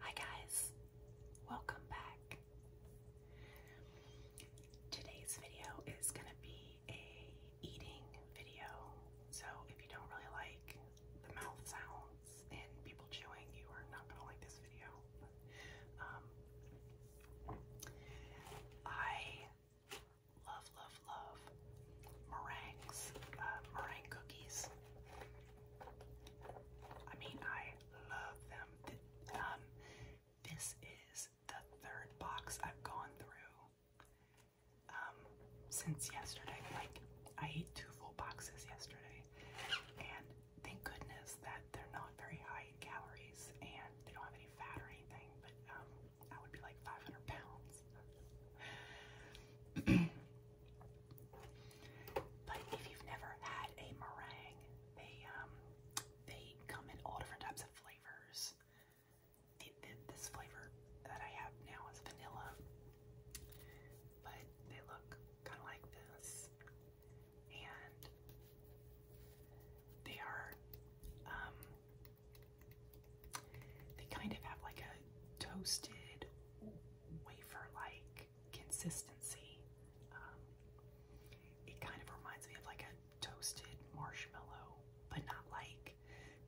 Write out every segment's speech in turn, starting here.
Hi guys, welcome back. Today's video is going to be a eating video. So if you don't really like the mouth sounds and people chewing, you are not going to like this video. Um, I love, love, love meringues, uh, meringue cookies. I mean, I love them. Um, this is the third box I've gone through um, since yesterday. Like, I ate two full boxes yesterday, and thank goodness that they're not very high in calories and they don't have any fat or anything. But um, would be like 500 pounds. But if you've never had a meringue, they um they come in all different types of flavors. this flavor that I have now is vanilla, but they look kind of like this, and they are um they kind of have like a toasted wafer-like consistency. Um, it kind of reminds me of like a toasted marshmallow, but not like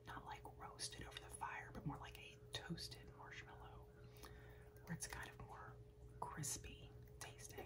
not like roasted over the fire, but more like a toasted marshmallow, where it's kind of more crispy tasting.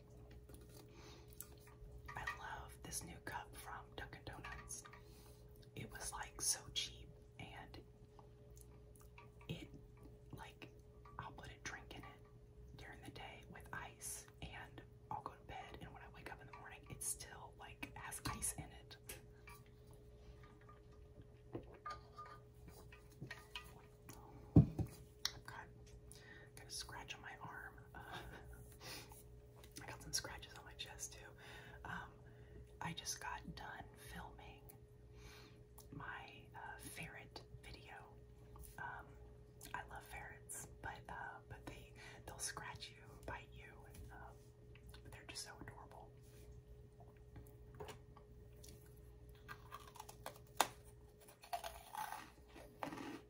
I love this new cup from Dunkin' Donuts. It was like so cheap and it like I'll put a drink in it during the day with ice and I'll go to bed and when I wake up in the morning it still like has ice in it. I've got, got a scratch on my arm. Uh, I got some scratches on my chest too. Um, I just got done filming my uh, ferret video. Um, I love ferrets, but uh, but they they'll scratch you, bite you, um, they're just so adorable.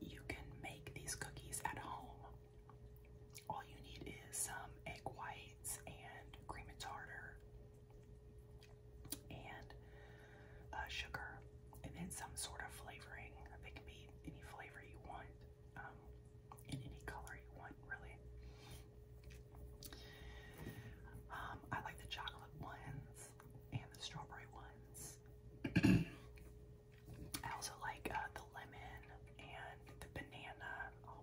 You can make these cookies at home. All you need is some egg whites and cream and tartar and uh, sugar, and then some sort of flavoring. They can be any flavor you want. Um, in any color you want, really. Um, I like the chocolate ones and the strawberry ones. I also like uh, the lemon and the banana. Oh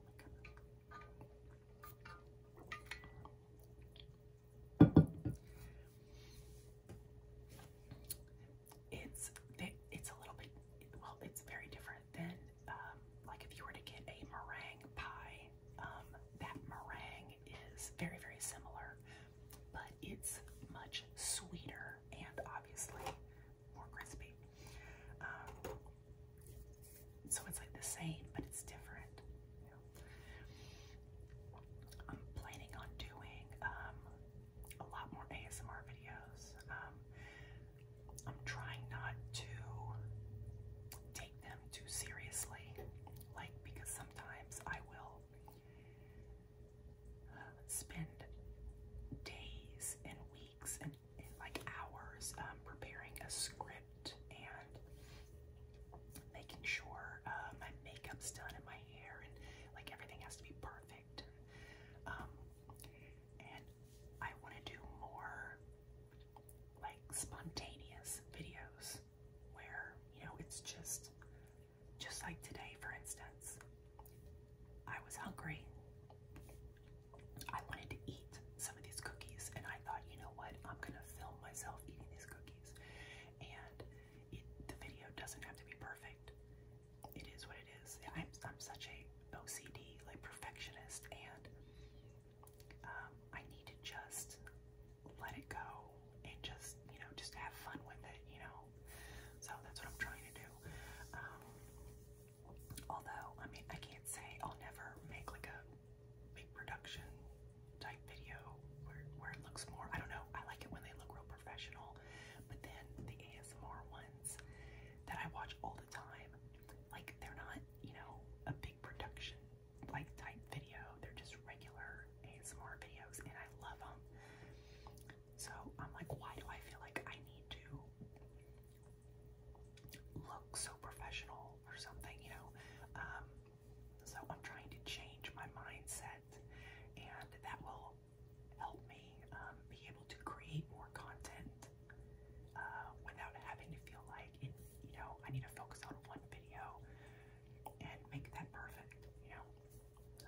it's it's a little bit well, it's very different than um, like if you were to get a meringue pie. Um, that meringue is very very similar, but it's much sweeter and obviously more crispy. Um, so it's like the same, but it's different. I'm planning on doing um, a lot more ASMR videos. Um, I'm trying not to take them too seriously, like because sometimes I will uh, spend days and weeks and, like hours um, preparing a script and making sure uh, my makeup's done and my hair and like everything has to be perfect perfect. Um, and I want to do more like spontaneous videos where you know it's just just like today for instance I was hungry I wanted to eat some of these cookies and I thought you know what I'm gonna film myself eating these cookies and it, the video doesn't have to be perfect. It is what it is. I'm, I'm such a OCD, like perfectionist, and um, I need to just let it go and just, you know, just have fun with it, you know. So that's what I'm trying to do. Um, although, I mean, I can't say I'll never make like a big production type video where, where it looks more, I don't know, I like it when they look real professional. But then the ASMR ones that I watch all the time, like they're not, you know, a big production like type video. They're just regular ASMR videos and I love them. So I'm like, why do I feel like I need to look so professional or something, you know? Um, so I'm trying to change my mindset content, and that will help me um, be able to create more content uh, without having to feel like it, you know I need to focus on one video and make that perfect, you know. So.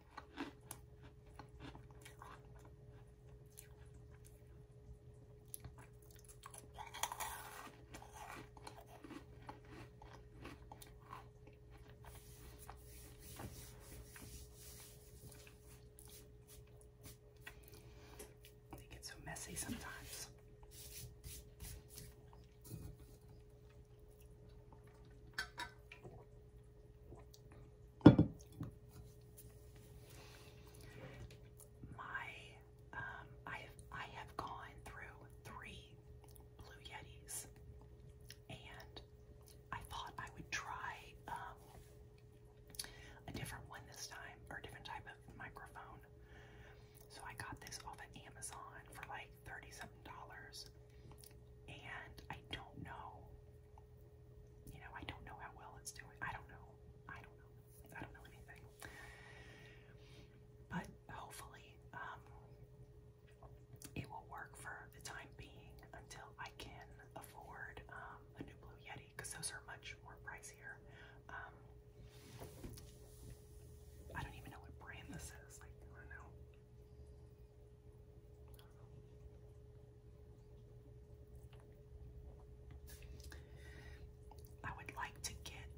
They get so messy sometimes. My, um, I have I have gone through three Blue Yetis, and I thought I would try um, a different one this time, or a different type of microphone. So I got this off of Amazon for like thirty-seven dollars, and I don't know you know, I don't know how well it's doing. I don't know. I don't know. I don't know anything. But hopefully, um, it will work for the time being until I can afford um, a new Blue Yeti because those are much more pricier. Um, I don't even know what brand this is. Like, I don't know. I would like to get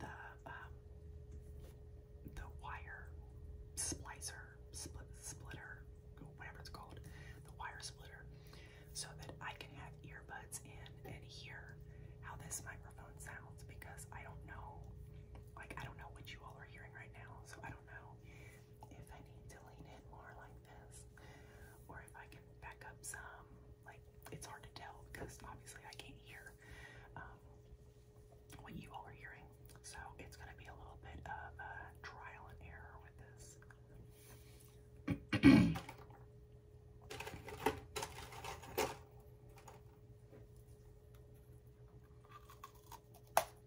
the um, the wire splicer, split, splitter, whatever it's called, the wire splitter, so that I can have earbuds in and hear how this microphone sounds because I don't know, like I don't know what you all are hearing right now, so I don't don't know if I need to lean in more like this or if I can back up some. Like, it's hard to tell because obviously I can't hear um, what you all are hearing. So it's going to be a little bit of trial and error with this.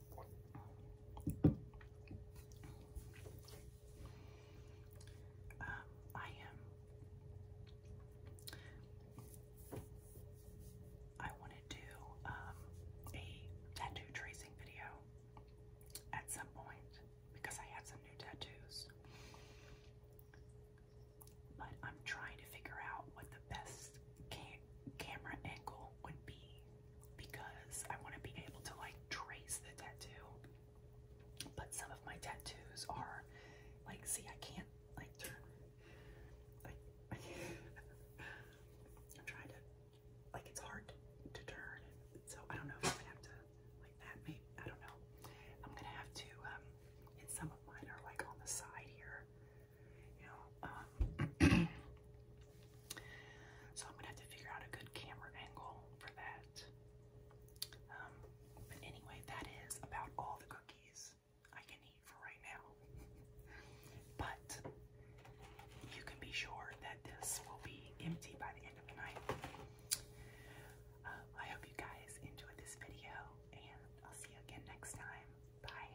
Um, I am. I want to do um, a tattoo tracing video at some point because I have some new tattoos. But I'm trying to figure out what the best cam camera angle would be because I want to be able to like trace the tattoo. But some of my tattoos are like, see, I can't like turn. I'm trying to, like, it's hard to, turn. So I don't know if I'm gonna have to like that. Maybe I don't know. I'm gonna have to. um And some of mine are like on the side here. You know. Um, So I'm gonna have to figure out a good camera angle for that. Um, but anyway, that is about all the cookies I can eat for right now. but you can be sure that this will be empty by the end of the night. Uh, I hope you guys enjoyed this video, and I'll see you again next time. Bye.